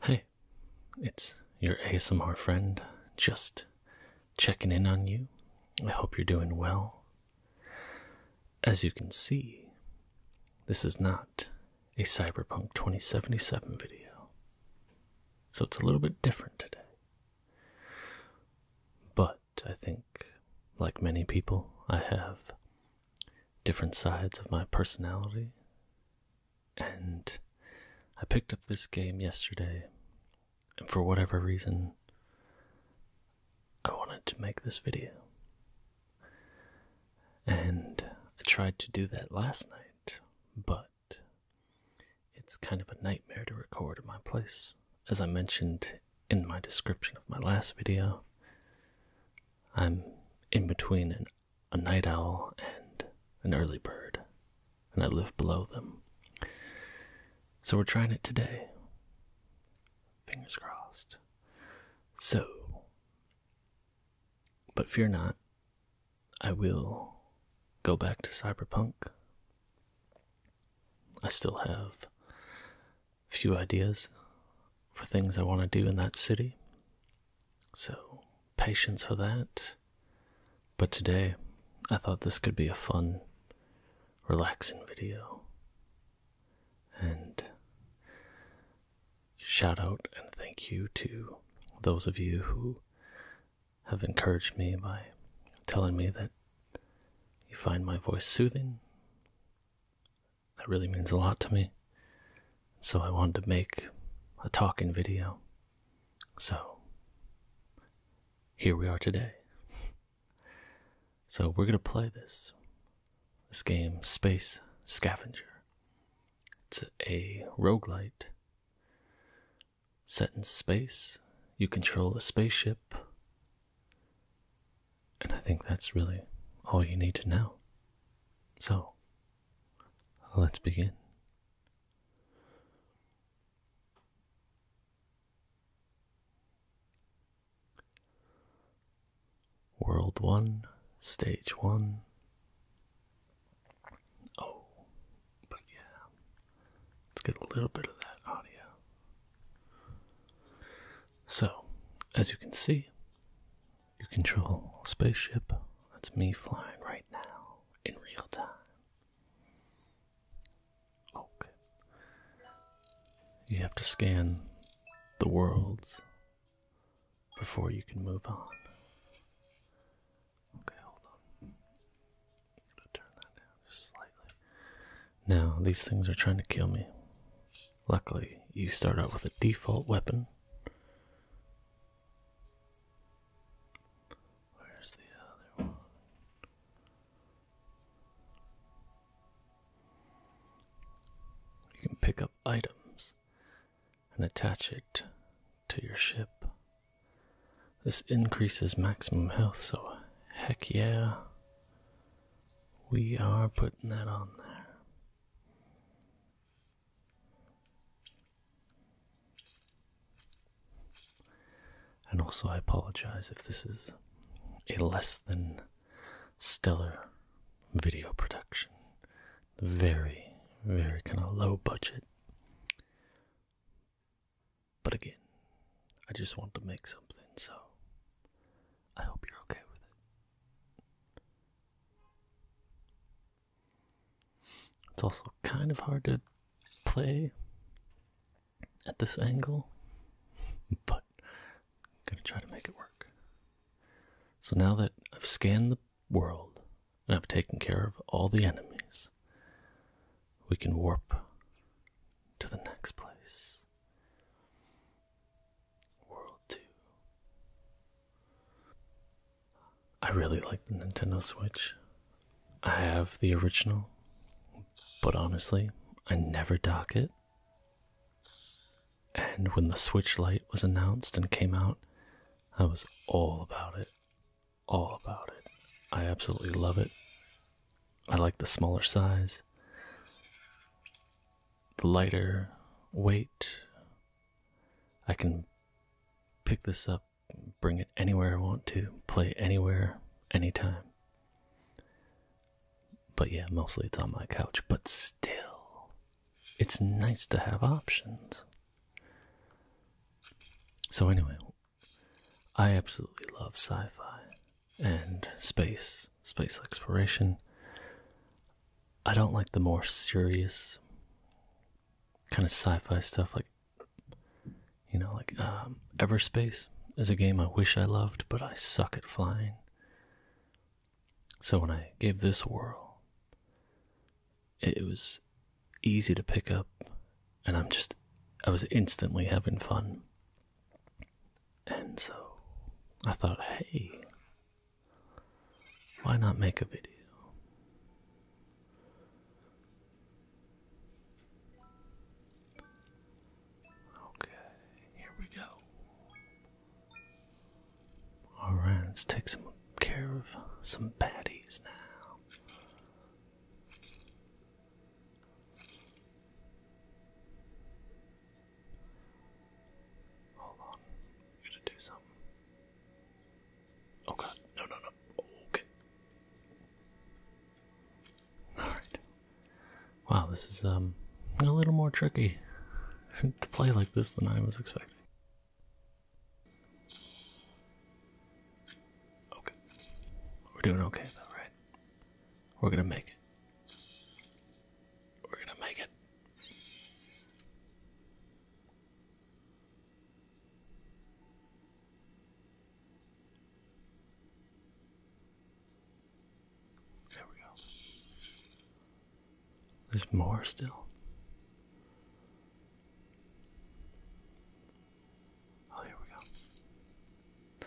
Hey, it's your ASMR friend, just checking in on you. I hope you're doing well. As you can see, this is not a Cyberpunk 2077 video, so it's a little bit different today. But I think, like many people, I have different sides of my personality and I picked up this game yesterday, and for whatever reason, I wanted to make this video. And I tried to do that last night, but it's kind of a nightmare to record at my place. As I mentioned in my description of my last video, I'm in between an a night owl and an early bird, and I live below them. So we're trying it today. Fingers crossed. So, but fear not, I will go back to Cyberpunk. I still have a few ideas for things I want to do in that city. So, patience for that. But today, I thought this could be a fun, relaxing video. And shout out and thank you to those of you who have encouraged me by telling me that you find my voice soothing that really means a lot to me. So I wanted to make a talking video. So here we are today. so we're going to play this this game Space Scavenger. It's a roguelite set in space. You control a spaceship. And I think that's really all you need to know. So, Let's begin. World 1, Stage 1. Oh, but yeah, let's get a little bit of that audio. So, as you can see, you control a spaceship. That's me flying right now in real time. Okay. You have to scan the worlds before you can move on. Okay, hold on. I'm gonna turn that down just slightly. Now, these things are trying to kill me. Luckily, you start out with a default weapon. Where's the other one? You can pick up items and attach it to your ship. This increases maximum health, so heck yeah. We are putting that on there. And also, I apologize if this is a less than stellar video production. Very, very kind of low budget. But again, I just want to make something, so I hope you're okay with it. It's also kind of hard to play at this angle, but I'm going to try to make it work. So now that I've scanned the world and I've taken care of all the enemies, we can warp to the next place. World 2. I really like the Nintendo Switch. I have the original, but honestly, I never dock it. And when the Switch Lite was announced and came out, I was all about it. All about it. I absolutely love it. I like the smaller size the lighter weight. I can pick this up, bring it anywhere I want to, play anywhere, anytime. But yeah, mostly it's on my couch, but still, it's nice to have options. So, anyway, I absolutely love sci fi and space space exploration. I don't like the more serious kind of sci-fi stuff like you know like um, Ever Space is a game i wish i loved but i suck at flying so when i gave this a whirl it was easy to pick up and i'm just i was instantly having fun and so i thought hey why not make a video? Okay, here we go. Alright, let's take some care of some baddies now. Hold on. We gotta do something. Oh god, no, no, no. Okay. Alright. Wow, this is um a little more tricky to play like this than I was expecting. Okay. We're doing okay though, right? We're gonna make it. We're gonna make it. There we go. There's more still. Oh, here we go.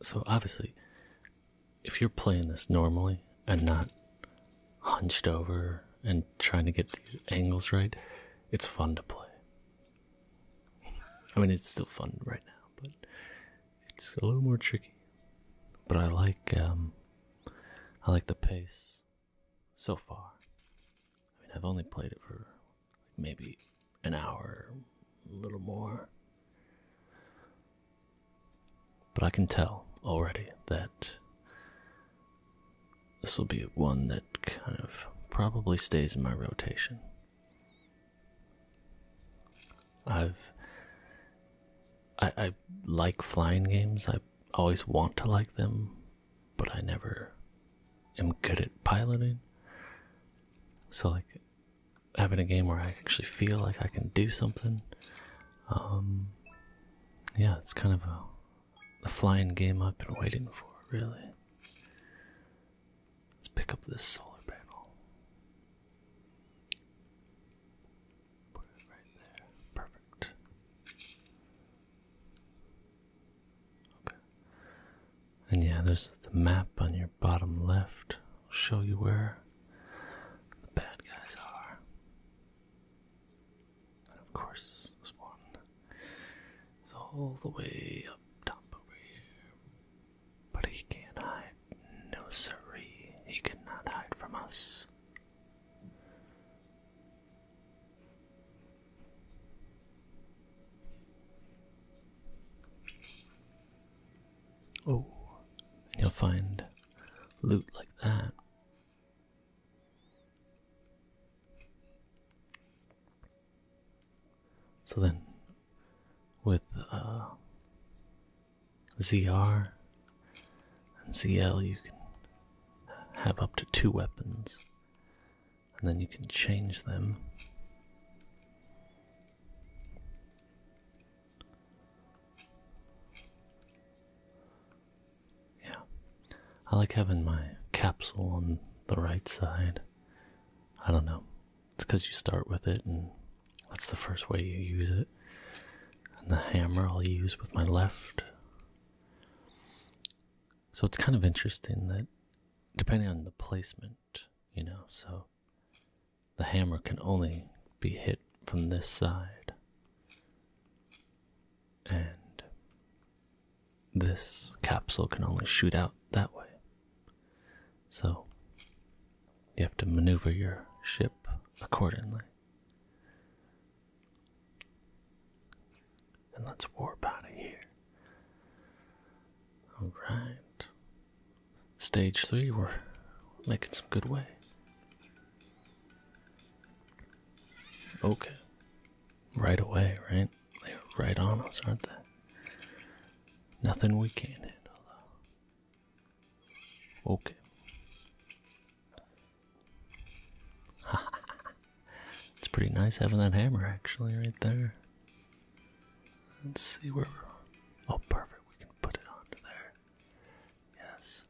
So obviously, if you're playing this normally and not hunched over and trying to get these angles right, it's fun to play. I mean, it's still fun right now, but it's a little more tricky. But I like, um, I like the pace so far. I mean, I've only played it for maybe an hour, a little more. But I can tell already that this will be one that kind of probably stays in my rotation. I've I, I like flying games. I always want to like them, but I never am good at piloting. So like having a game where I actually feel like I can do something. Um, yeah, it's kind of a, a flying game I've been waiting for, really. Let's pick up this solar panel. Put it right there. Perfect. Okay. And yeah, there's the map on your bottom left will show you where the bad guys are. of course, this one is all the way up top over here. But he can't hide. No, siree. He cannot hide from us. Oh, and you'll find loot like that. So then, with uh, ZR and ZL, you can have up to two weapons, and then you can change them. Yeah. I like having my capsule on the right side. I don't know. It's because you start with it, and that's the first way you use it. And the hammer I'll use with my left. So it's kind of interesting that, depending on the placement, you know, so the hammer can only be hit from this side. And this capsule can only shoot out that way. So you have to maneuver your ship accordingly. And let's warp out of here. Alright. Stage three, we're making some good way. Okay. Right away, right? They're right on us, aren't they? Nothing we can't handle, Okay. it's pretty nice having that hammer, actually, right there. Let's see where we're. Oh, perfect. We can put it onto there. Yes.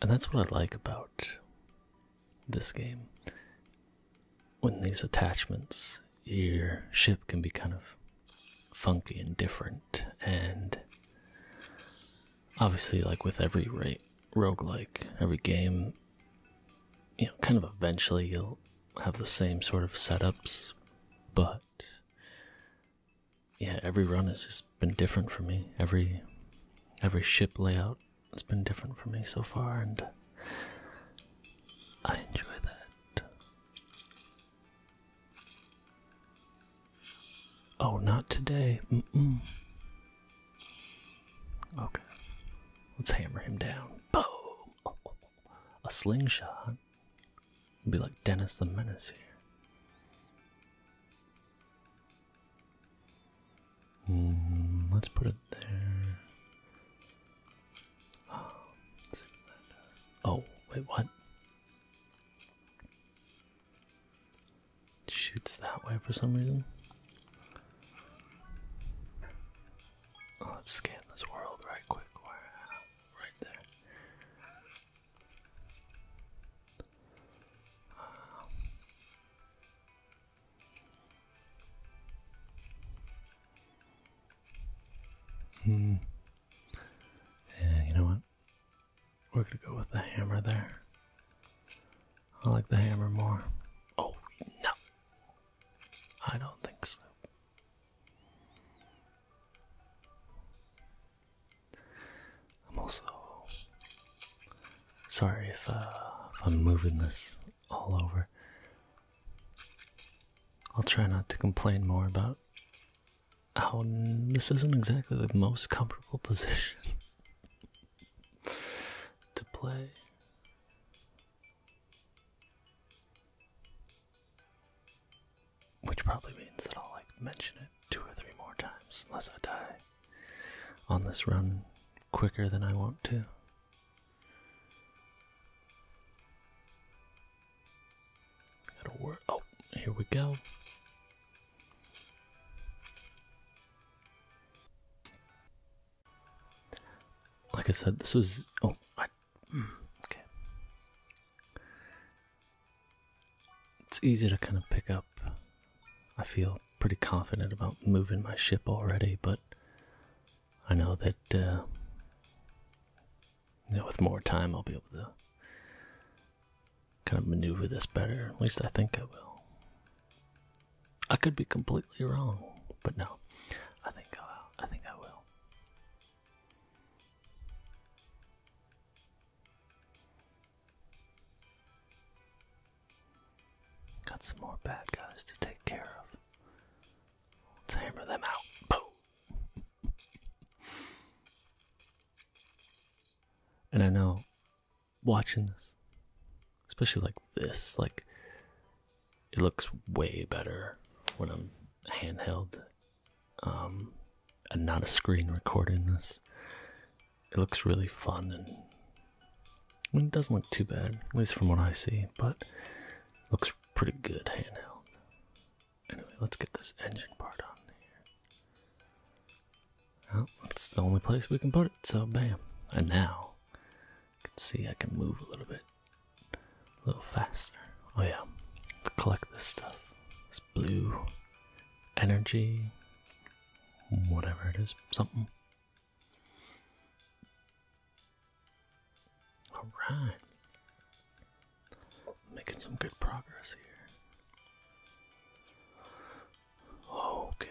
And that's what I like about this game. When these attachments, your ship can be kind of funky and different, and obviously, like with every rogue-like, every game, you know, kind of eventually you'll have the same sort of setups, but yeah, every run has just been different for me. Every every ship layout has been different for me so far, and I enjoy that. Oh, not today. Mm -mm. Okay, let's hammer him down. Boom! a slingshot. It'd be like Dennis the Menace here. Mm, let's put it there. Oh, wait, what? shoots that way for some reason. Oh, let's scan this world right quick. right there. Um. hmm. Yeah, you know what? We're gonna go with the hammer there. I like the hammer more. Oh, no! I don't think so. I'm also sorry uh, if, I'm moving this all over. I'll try not to complain more about how this isn't exactly the most comfortable position to play. Which probably means that I'll like mention it two or three more times unless I die on this run quicker than I want to. Gotta work. Oh, here we go. Like I said, this was. Oh, hmm, It's easy to kind of pick up. I feel pretty confident about moving my ship already, but I know that uh, you know, with more time I'll be able to kind of maneuver this better. At least I think I will. I could be completely wrong, but no, I think uh, I think I will. Got some more bad guys to take care of. hammer them out. Boom! and I know watching this, especially like this, like it looks way better when I'm handheld. Um, and not a screen recording this. It looks really fun and it doesn't look too bad, at least from what I see, but looks pretty good handheld. Anyway, let's get this engine part on here. Well, it's the only place we can put it, so bam. And now I can see I can move a little bit, a little faster. Oh yeah, let's collect this stuff. This blue energy, whatever it is, something. All right, making some good progress here. Okay.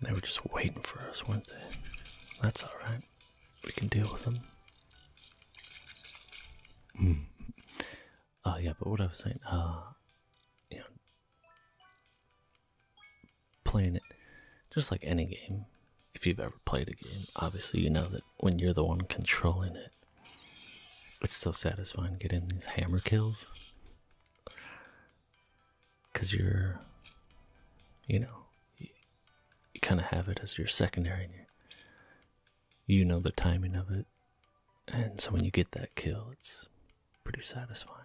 They were just waiting for us, weren't they? That's alright. We can deal with them. Oh yeah, but what I was saying, uh, you know, playing it just like any game. If you've ever played a game, obviously you know that when you're the one controlling it, it's so satisfying getting these hammer kills because you're, you know, you, kind of have it as your secondary, and you know the timing of it. And so when you get that kill, it's pretty satisfying.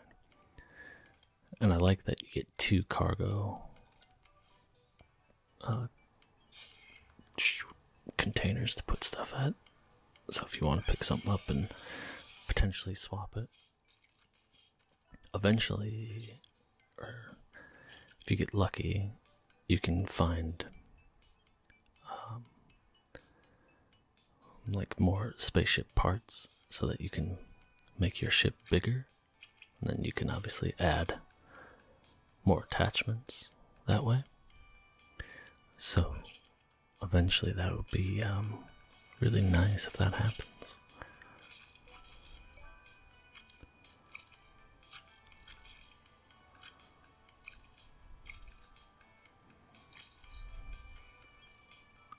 And I like that you get two cargo uh, containers to put stuff at. So if you want to pick something up and potentially swap it, eventually, or if you get lucky, you can find um, like more spaceship parts so that you can make your ship bigger. And then you can obviously add more attachments that way. So eventually that would be um, really nice if that happens.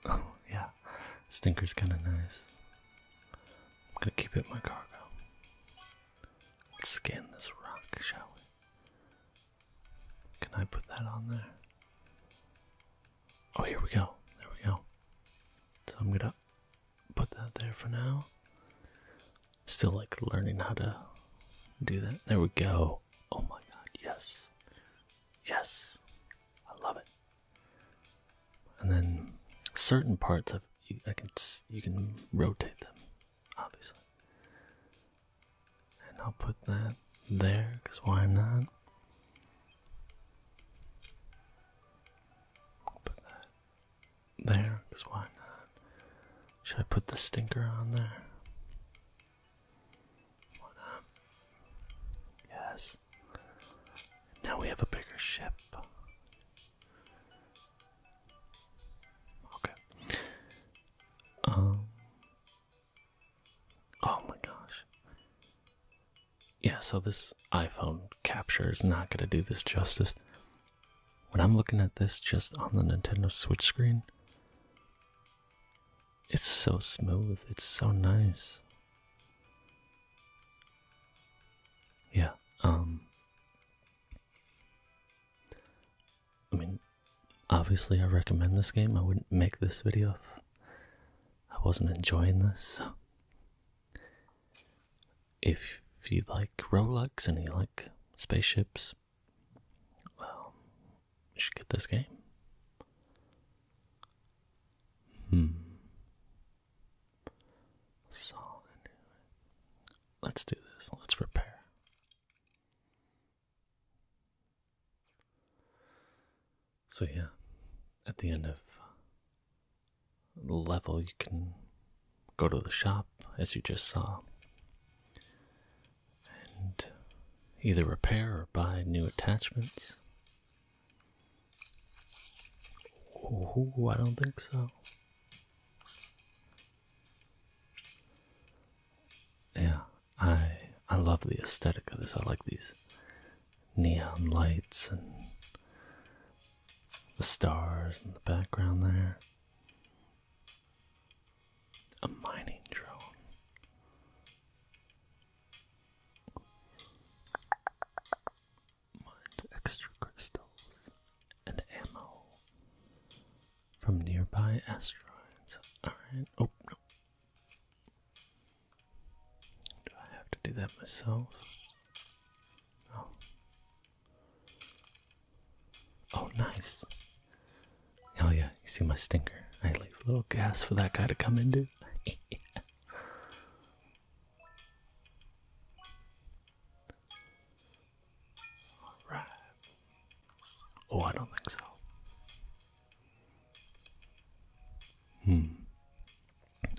Oh, yeah. Stinker's kind of nice. I'm gonna keep it in my cargo. Let's scan this rock, shall we? Can I put that on there? Oh, here we go. There we go. So I'm gonna put that there for now. Still like learning how to do that. There we go. Oh my god, yes. Yes. I love it. And then certain parts of I can you can rotate them, obviously. And I'll put that there because why not? put that there, because why not? Should I put the stinker on there? Why not? Yes. Now we have a bigger ship. Okay. Um Oh my gosh. Yeah, so this iPhone capture is not going to do this justice. When I'm looking at this just on the Nintendo Switch screen, it's so smooth, it's so nice. Yeah, um I mean, obviously I recommend this game. I wouldn't make this video I wasn't enjoying this. If you like Rolex and you like spaceships, well, you should get this game. Hmm. Solid. Let's do this. Let's prepare. So, yeah, at the end of the level, you can go to the shop as you just saw and either repair or buy new attachments. Ooh, I don't think so. Yeah, I I love the aesthetic of this. I like these neon lights and the stars in the background there. A mining drone. Mines extra crystals and ammo from nearby asteroids. Alright. Oh, no. Do I have to do that myself? Oh. Oh, nice. Oh, yeah, you see my stinker. I leave a little gas for that guy to come into. Alright. Oh, I don't think so. Hmm.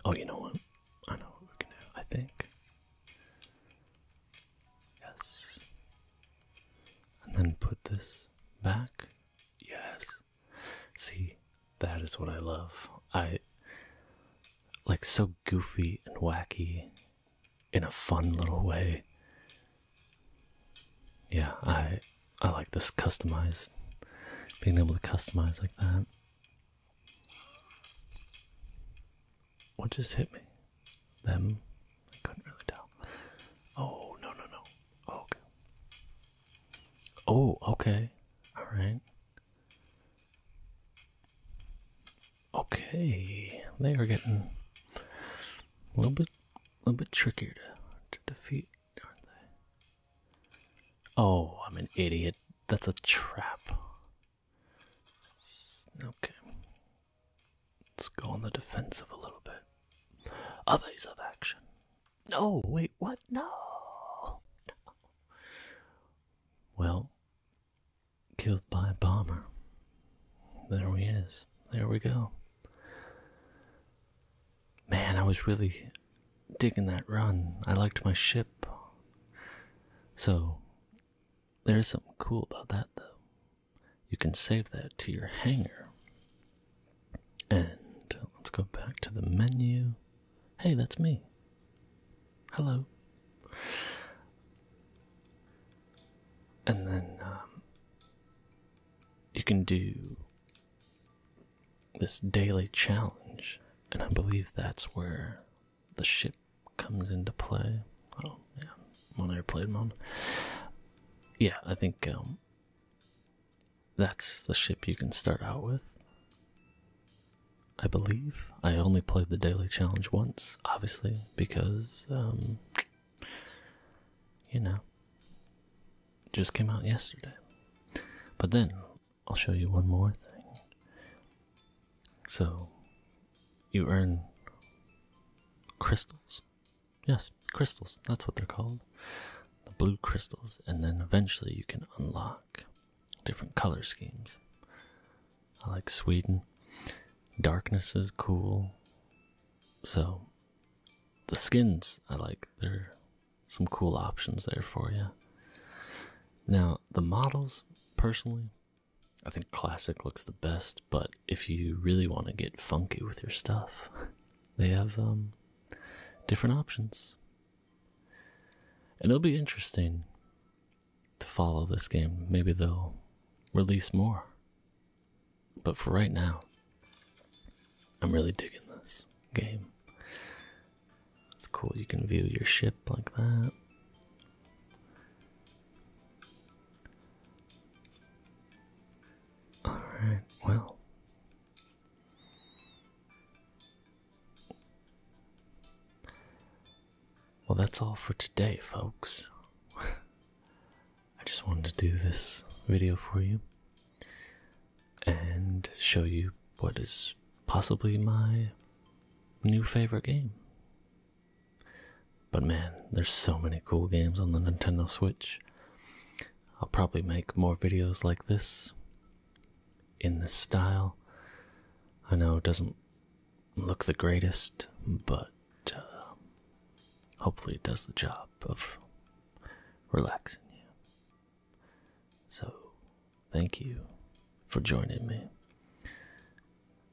Oh, you know what? I know what we can do. I think. Yes. And then put this back. Yes. See, that is what I love. I like so goofy and wacky in a fun little way. Yeah, I I like this customized being able to customize like that. What just hit me? Them? I couldn't really tell. Oh no no no. Oh, okay. Oh, okay. Alright. Okay. They are getting a little bit a little bit trickier to, to defeat. Oh, I'm an idiot. That's a trap. It's, okay. Let's go on the defensive a little bit. Others of action. No, wait, what? no. Well, killed by a bomber. There he is. There we go. Man, I was really digging that run. I liked my ship. So, there's something cool about that, though. You can save that to your hangar. And let's go back to the menu. Hey, that's me. Hello. And then um, you can do this daily challenge, and I believe that's where the ship comes into play. Oh, yeah, on airplane mode. Yeah, I think um, that's the ship you can start out with. I believe I only played the daily challenge once, obviously, because um, you know, just came out yesterday. But then I'll show you one more thing. So, you earn crystals. Yes, crystals. That's what they're called. The blue crystals. And then eventually you can unlock different color schemes. I like Sweden. Darkness is cool. So, the skins I like. they are some cool options there for you. Now, the models, personally, I think classic looks the best, but if you really want to get funky with your stuff, they have um, different options. And it'll be interesting to follow this game. Maybe they'll release more but for right now, I'm really digging this game. It's cool, you can view your ship like that. Alright, well. Well, that's all for today, folks. I just wanted to do this video for you and show you what is possibly my new favorite game. But man, there's so many cool games on the Nintendo Switch. I'll probably make more videos like this in this style. I know it doesn't look the greatest, but uh, hopefully it does the job of relaxing you. So, thank you for joining me,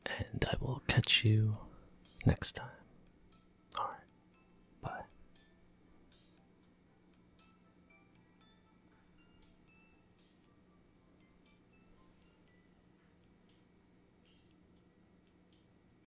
and I will catch you next time. Alright, bye.